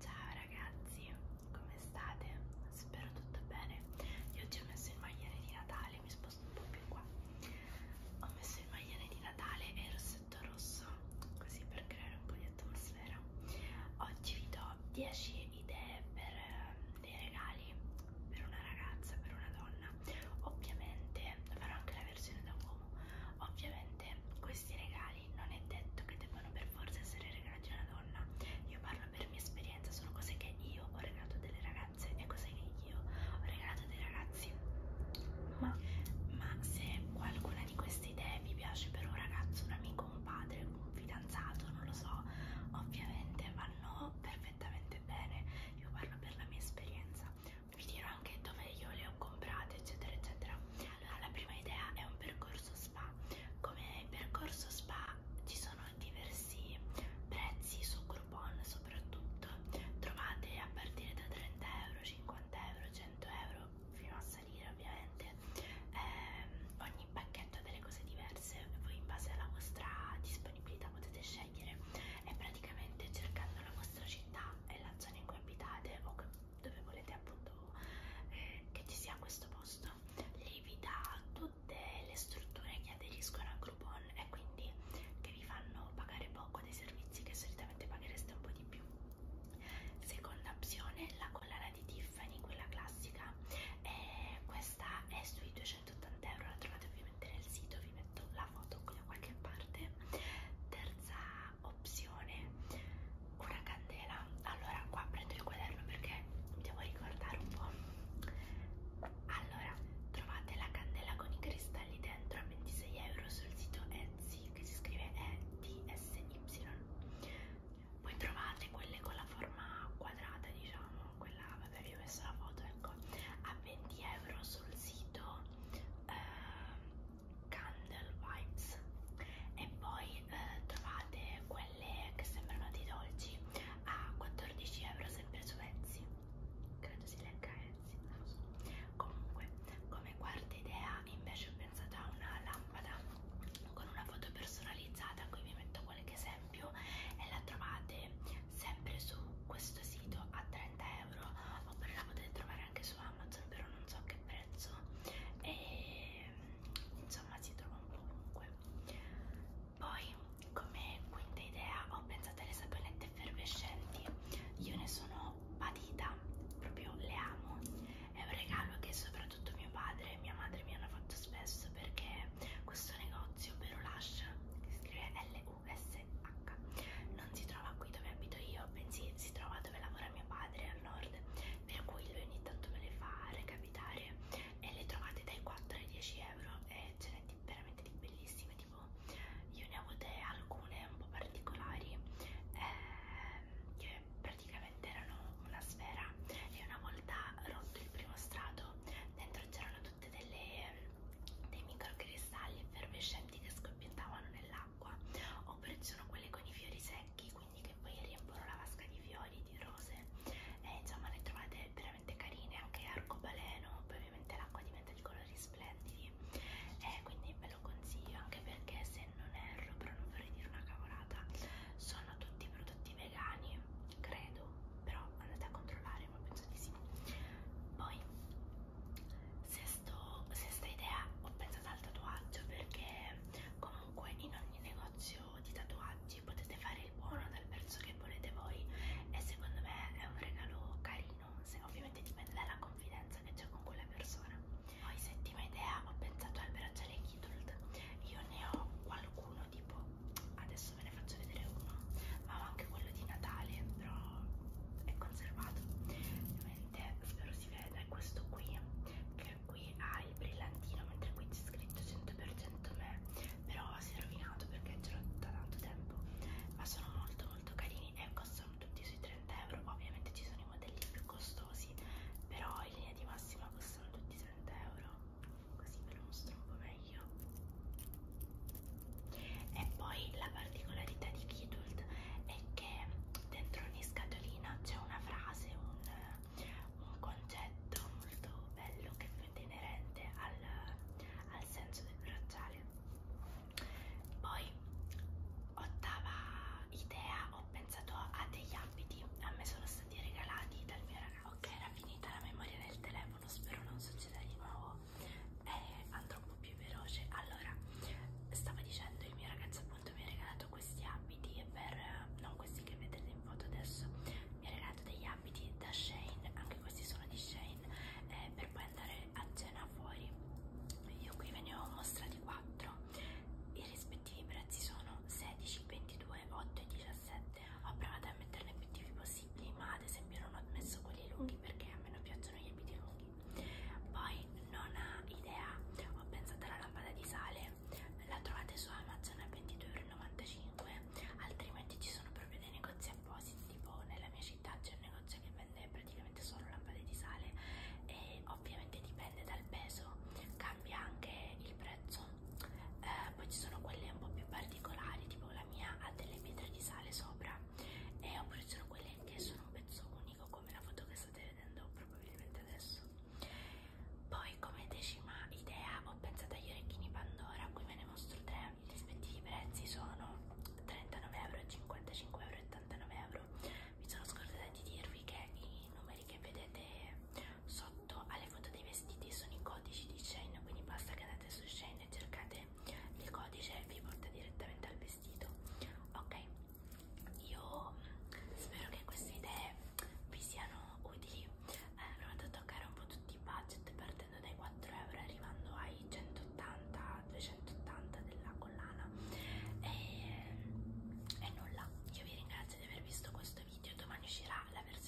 Ciao ragazzi, come state? Spero tutto bene. Io oggi ho messo il maglione di Natale, mi sposto un po' più qua. Ho messo il maglione di Natale e il rossetto rosso, così per creare un po' di atmosfera. Oggi vi do 10 idee per eh, dei regali per una ragazza, per una donna. Ovviamente farò anche la versione da uomo. Ovviamente questi regali non è detto che debbano per forza essere regalati a una donna. Io parlo per mia esperienza, sono cose che io ho regalato a delle ragazze e cose che io ho regalato a dei ragazzi. Ma, ma se qualcuna di queste idee vi piace per un ragazzo, un amico, un padre, un fidanzato, non lo so, ovviamente vanno per perfettamente bene, io parlo per la mia esperienza, vi dirò anche dove io le ho comprate eccetera eccetera. Allora la prima idea è un percorso spa, come percorso spa ci sono diversi prezzi su Groupon soprattutto, trovate a partire da 30 euro, 50 euro, 100 euro fino a salire ovviamente. Eh, ogni pacchetto ha delle cose diverse voi in base alla vostra disponibilità potete scegliere e praticamente cercando la vostra città e la zona in cui abitate o dove volete appunto eh, che ci sia questo posto lì vi dà tutte le strutture che aderiscono a Groupon e quindi che vi fanno pagare poco dei servizi che solitamente paghereste un po' di più seconda opzione la collana di Tiffany quella classica e questa è sui 200 280 euro la trovate ovviamente nel sito vi metto la foto qui da qualche parte terza opzione una candela allora qua prendo il quaderno perché mi devo ricordare un po' allora trovate la candela con i cristalli dentro a 26 euro sul sito Etsy che si scrive ETSY poi trovate quelle con la forma quadrata diciamo quella vabbè vi ho messo la foto ecco a 20 euro sul sito eh, Candle Vibes e poi eh, trovate quelle che sembrano dei dolci a 14 euro sempre su Etsy credo si legga Etsy non lo so comunque come quarta idea invece ho pensato a una lampada con una foto personalizzata qui vi metto qualche esempio e la trovate sempre su questo sito a 30 euro oppure la potete trovare anche su Amazon però non so a che prezzo e insomma si trova un po' ovunque poi come quinta idea ho pensato alle saponette effervescenti io ne sono patita proprio le amo è un regalo che soprattutto mio padre e mia madre mi hanno fatto spesso questo perché questo negozio, ovvero Lush, che si scrive L-U-S-H, non si trova qui dove abito io, bensì si trova dove lavora mio padre al nord, per cui lui ogni tanto me le fa recapitare e le trovate dai 4 ai 10 euro e ce n'è di, veramente di bellissime, tipo io ne ho avute alcune un po' particolari eh, che praticamente erano una sfera e una volta rotto il primo strato vuoto dentro c'erano tutte delle ehm, dei microcristalli effervescenti che scoppiettavano nell'acqua oppure ci sono quelle con i fiori secchi quindi che poi riempiono la vasca di fiori di rose e insomma ne trovate veramente carine anche arcobaleno poi ovviamente l'acqua diventa di colori splendidi e quindi ve lo consiglio anche perché se non erro però non vorrei dire una cavolata sono tutti prodotti vegani, credo, però andate a controllare, ma penso di sì. Poi, sesto, sesta idea, ho pensato al tatuaggio perché comunque in ogni negozio di tatuaggi potete fare il buono dal verso che volete voi e secondo me è un regalo carino, se ovviamente dipende dalla confidenza che c'è con quella persona. Poi settima idea, ho pensato al bracciale Kidult, io ne ho qualcuno sono tipo adesso ve ne faccio vedere uno ma ho anche quello di Natale però è conservato ovviamente spero si veda è questo qui che qui ha il brillantino mentre qui c'è scritto 100% me però si è rovinato perché ce l'ho da tanto tempo ma sono molto molto carini e costano tutti sui 30 euro ovviamente ci sono i modelli più costosi però in linea di massima costano tutti 30 euro così ve lo mostro un po' meglio e poi la particolarità di Kidult è che dentro ogni scatolina c'è una frase, un, un concetto molto bello che è inerente al, al senso del bracciale poi ottava idea ho pensato a degli abiti a me sono stati regalati dal mio ragazzo ok era finita la memoria del telefono spero non succeda di nuovo eh, andrò un po' più veloce allora stavo dicendo il mio ragazzo appunto mi ha regalato questi abiti e per eh, non questi che vedete in foto adesso mi ha regalato degli abiti da Shane anche questi sono di Shane eh, per poi andare a cena fuori io qui ve ne ho mostrati 4 i rispettivi prezzi sono 16 22 8 e 17 17 ho provato a metterle più tipi possibili ma ad esempio non ho messo quelli lunghi perché a me non piacciono gli abiti lunghi poi non ha idea ho pensato alla lampada di sale la trovate su Amazon a 22,95 altrimenti ci sono proprio dei negozi appositi tipo nella mia città c'è un negozio che vende praticamente solo lampade di sale e ovviamente dipende dal peso cambia anche il prezzo eh, eh, poi ci sono quelle un po' più particolari tipo la mia ha delle pietre di sale sopra eh, oppure ci sono quelle che sono un pezzo unico come la foto che state vedendo probabilmente adesso poi come decima idea ho pensato agli orecchini Pandora qui ve ne mostro tre i rispettivi prezzi sono 39 euro 55 euro 89 euro mi sono scordata di dirvi che i numeri che vedete sotto sotto alle foto dei vestiti sono i codici di Shane, quindi basta che andate su Shane e cercate il codice e vi porta direttamente al vestito. Ok, io spero che queste idee vi siano utili. Eh, provate a toccare un po' tutti i budget partendo dai 4 euro arrivando ai 180-280 della collana. E, e nulla, io vi ringrazio di aver visto questo video. Domani uscirà la versione